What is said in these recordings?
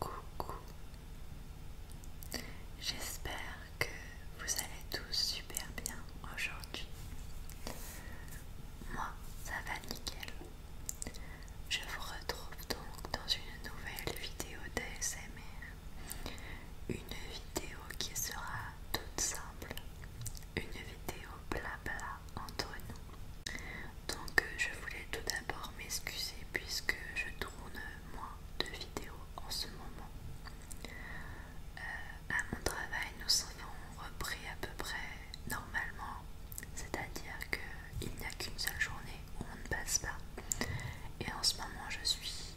Coucou J'espère que vous allez tous super bien aujourd'hui. Moi, ça va nickel. Je vous retrouve donc dans une nouvelle vidéo d'ASMR. Une vidéo qui sera toute simple. Une vidéo blabla entre nous. Donc euh, je voulais tout d'abord m'excuser puisque je tourne moins de vidéos en ce moment. Euh, à mon travail, nous serions repris à peu près normalement, c'est-à-dire qu'il n'y a qu'une seule journée où on ne passe pas. Et en ce moment, je suis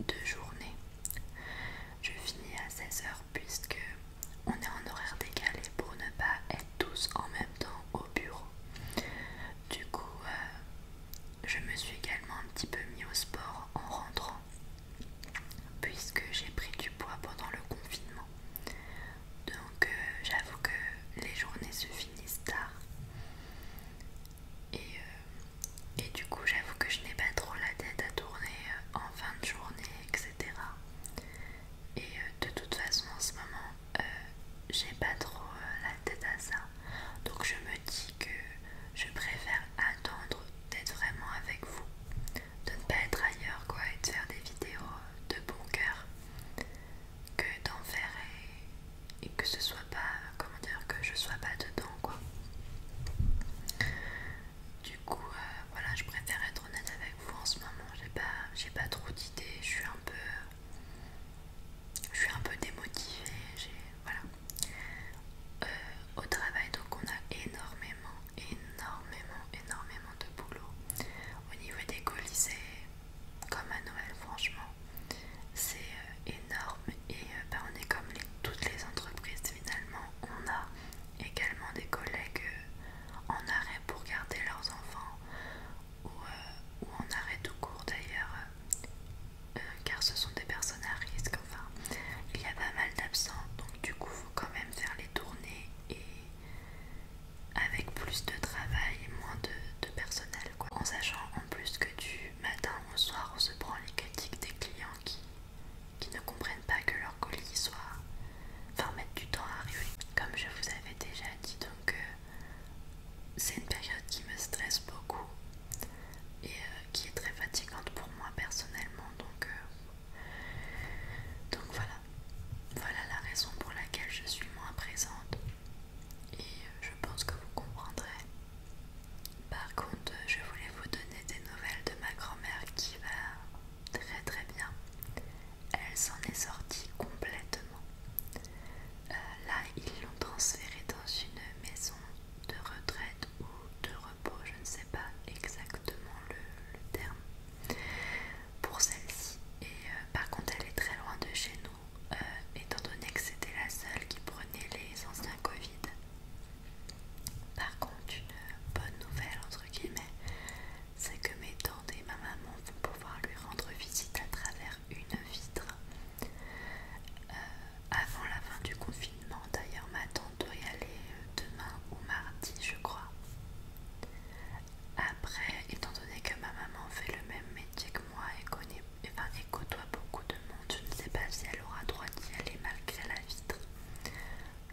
deux journées. Je finis à 16h puisque on est en horaire décalé pour ne pas être tous en même temps au bureau. Du coup, euh, je me suis également un petit peu mis au sport en rentrant, puisque j'ai pris du poids pendant le confinement. Donc, euh, j'avoue que les journées se finissent tard. Euh, et du coup, j'avoue que je n'ai pas trop la tête à tourner en fin de journée, etc et euh, de toute façon en ce moment euh, j'ai pas trop euh, la tête à ça donc je me dis que je préfère attendre d'être vraiment avec vous de ne pas être ailleurs quoi et de faire des vidéos de bon cœur que d'en faire et, que ce soit pas comment dire que je sois pas dedans quoi du coup voilà je préfère être honnête avec en ce moment j'ai pas j'ai pas trop d'idées je suis un peu je suis un peu démotivée j'ai voilà euh, au travail donc on a énormément énormément énormément de boulot au niveau des colis comme à Noël franchement c'est euh, énorme et euh, bah, on est comme toutes les entreprises finalement on a également des collègues euh, en arrêt pour garder leurs enfants ou, euh, en arrêt tout court d'ailleurs euh, car ce sont des personnes à risque enfin il y a pas mal d'absents donc du coup faut quand même faire les tournées et avec plus de travail et moins de, de personnel quoi en sachant en plus que du matin au soir on se prend les critiques des clients qui qui ne comprennent pas que leur colis soit... Enfin, mettre du temps à arriver. Comme je vous avais déjà dit, donc euh, c'est une période qui me stresse beaucoup et euh, qui est très fatigante pour moi personnellement. Donc, euh, donc voilà. Voilà la raison pour laquelle je suis moins présente. Et je pense que vous comprendrez. Par contre, je voulais vous donner des nouvelles de ma grand-mère qui va très très bien. Elle s'en est sortie complètement. Euh, là, ils l'ont transférée dans une maison de retraite ou de repos, je ne sais pas exactement le, terme pour celle-ci. Et euh, par contre, elle est très loin de chez nous, euh, étant donné que c'était la seule qui prenait les anciens Covid. Par contre, une bonne nouvelle, entre guillemets, c'est que mes tantes et ma maman vont pouvoir lui rendre visite à travers une vitre. Euh, avant la fin du confinement, d'ailleurs, ma tante doit y aller euh, demain ou mardi, je crois. Après, étant donné que ma maman fait le même métier que moi et connaît et eh ben, écoute côtoie beaucoup de monde. Je ne sais pas si elle aura droit d'y aller malgré la vitre.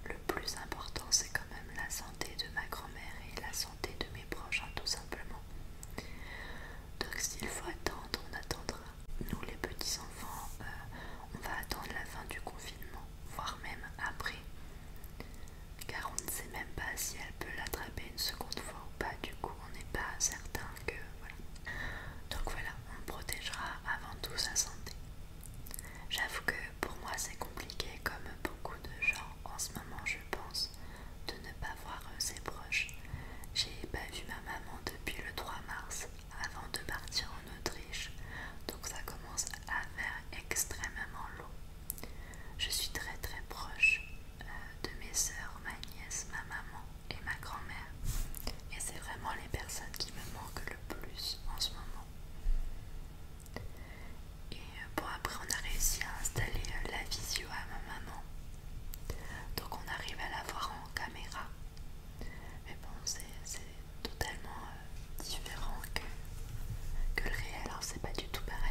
Le plus important, c'est quand même la santé de ma grand-mère et la santé de mes proches, hein, tout simplement. Donc s'il faut attendre, on attendra. Nous, les petits enfants, euh, on va attendre la fin du confinement, voire même après, car on ne sait même pas si elle peut l'attraper une seconde fois ou pas. Du coup, on n'est pas certain que voilà. Donc voilà, on protégera avant tout sa santé. J'avoue que pour moi c'est compliqué comme beaucoup de gens en ce moment je pense de ne pas voir euh, ses proches. J'ai pas vu ma maman depuis le 3 mars avant de partir en Autriche donc ça commence à faire extrêmement long. Je suis très très proche euh, de mes soeurs, ma nièce, ma maman et ma grand-mère. Et c'est vraiment les personnes qui me manquent le plus en ce moment. Et euh, bon, après, on a réussi à installer euh, la visio à ma maman. Donc, on arrive à la voir en caméra. Mais bon, c'est totalement euh, différent que, que le réel, alors c'est pas du tout pareil.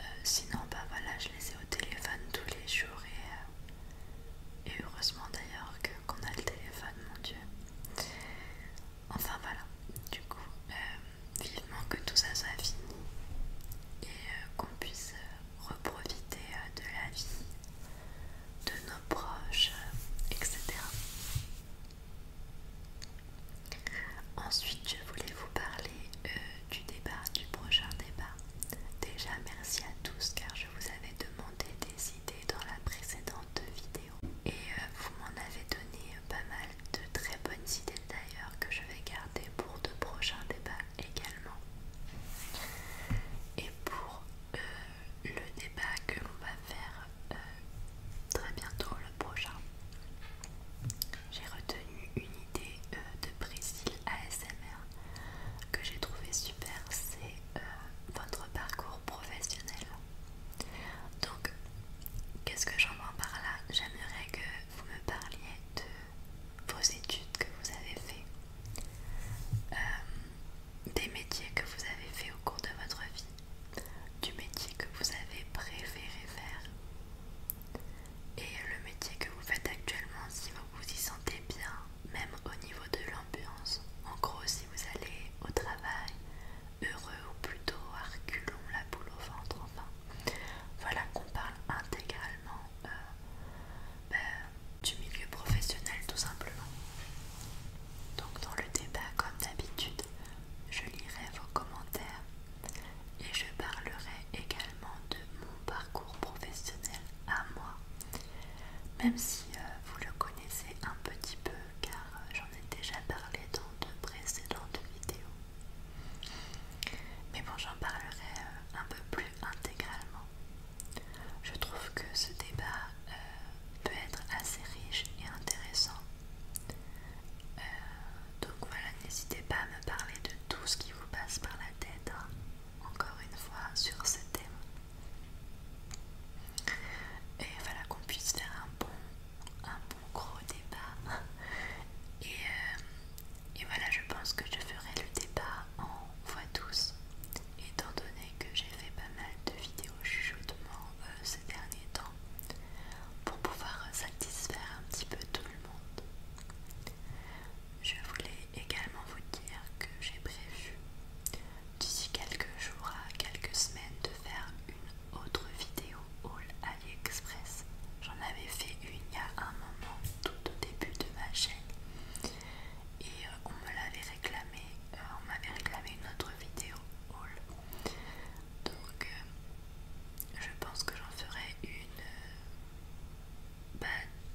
Euh, sinon, bah voilà, je les ai au téléphone tous les jours et, euh, heureusement d'ailleurs qu'on a le téléphone, mon dieu. Enfin voilà, du coup, euh, vivement que tout ça soit fini et qu'on puisse reprofiter de la vie, de nos proches, etc. Ensuite, je voulais vous parler euh, du débat, du prochain débat. Déjà, merci à tous car je vous avais demandé des idées dans la précédente vidéo et euh, vous m'en avez donné pas mal de très bonnes idées d'ailleurs que je vais garder pour de prochains débats également. Et pour euh, le débat que l'on va faire très bientôt le prochain. J'ai retenu une idée euh, de Priscille ASMR que j'ai trouvé super, c'est euh, votre parcours professionnel. Donc, qu'est-ce que j'entends par là J'aimerais que vous me parliez de vos études que vous avez fait, euh, des métiers que vous avez fait au cours de votre vie, du métier que vous avez préféré faire et le métier que vous faites actuellement si vous vous y sentez bien, même au niveau de l'ambiance. En gros, si vous allez au travail heureux ou plutôt reculons la boule au ventre, enfin. Voilà qu'on parle intégralement euh, ben, du milieu professionnel tout simplement. Donc dans le débat, comme d'habitude, je lirai vos commentaires et je parlerai également de mon parcours professionnel à moi, même si euh, vous le connaissez un petit peu car euh, j'en ai déjà parlé dans de précédentes vidéos. Mais bon, j'en parlerai euh, un peu plus intégralement. Je trouve que ce débat peut être assez riche et intéressant euh, donc voilà, n'hésitez pas à me parler de tout ce qui vous passe par la tête, hein, encore une fois, sur ce thème. Et voilà, qu'on puisse faire un bon, un bon gros débat. Et, euh, et voilà, je pense que je ferai le débat en voix douce, étant donné que j'ai fait pas mal de vidéos au chuchotement euh, ces derniers temps pour pouvoir satisfaire un petit peu tout le monde. Je voulais également vous dire que j'ai prévu d'ici quelques jours à quelques semaines de faire une autre vidéo haul AliExpress. J'en avais fait une il y a un moment tout au début de ma chaîne et euh, on me l'avait réclamé, euh, on m'avait réclamé une autre vidéo Donc euh, je pense que j'en ferai une bah,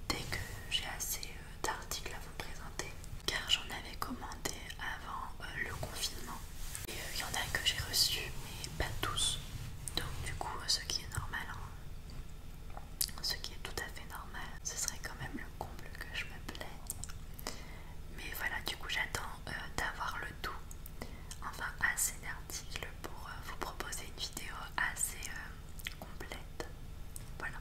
dès que j'ai assez d'articles à vous présenter car j'en avais commandé avant le confinement et il y en a que j'ai reçu mais pas tous donc du coup ce qui est normal hein. ce qui est tout à fait normal ce serait quand même le comble que je me plaigne. Mais voilà, du coup, j'attends euh, d'avoir le tout, enfin assez d'articles pour euh, vous proposer une vidéo assez euh, complète. Voilà.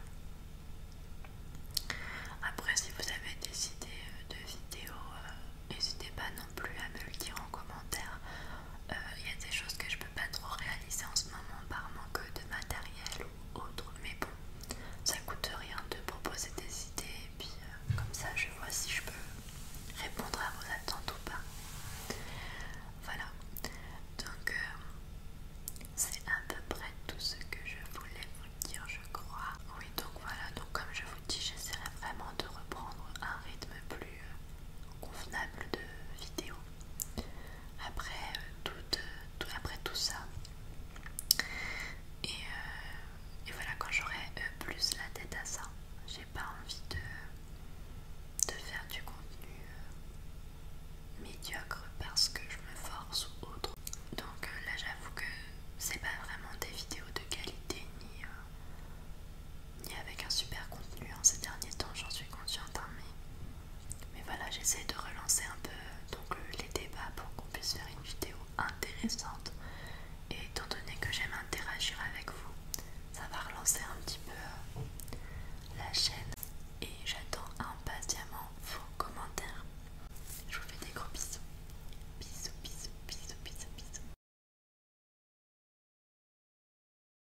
Après, si vous avez des idées de vidéos, n'hésitez pas non plus à me le dire en commentaire. Il y a des choses que je peux pas trop réaliser en ce moment par manque de matériel autre. Mais bon, ça coûte rien de proposer des idées et puis euh, comme ça je vois si je peux répondre à vos attentes ou pas. Voilà, donc euh, c'est à peu près tout ce que je voulais vous dire, je crois. Oui, donc voilà, donc comme je vous dis, j'essaierai vraiment de reprendre un rythme plus euh, convenable de vidéo après, euh, euh, tout, après tout ça. Et, euh, voilà, quand j'aurai plus la tête à ça, j'ai pas envie de, faire du contenu médiocre parce que je me force ou autre. Donc là, j'avoue que c'est pas vraiment des vidéos de qualité ni, ni avec un super contenu. En hein, ces derniers temps, j'en suis consciente, hein, mais mais voilà, j'essaie de relancer un peu euh, donc, euh, les débats pour qu'on puisse faire une vidéo intéressante. Et étant donné que j'aime interagir avec vous, ça va relancer un petit peu euh, la chaîne. Et j'attends impatiemment vos commentaires. Je vous fais des gros bisous. Bisous, bisous, bisous, bisous, bisous.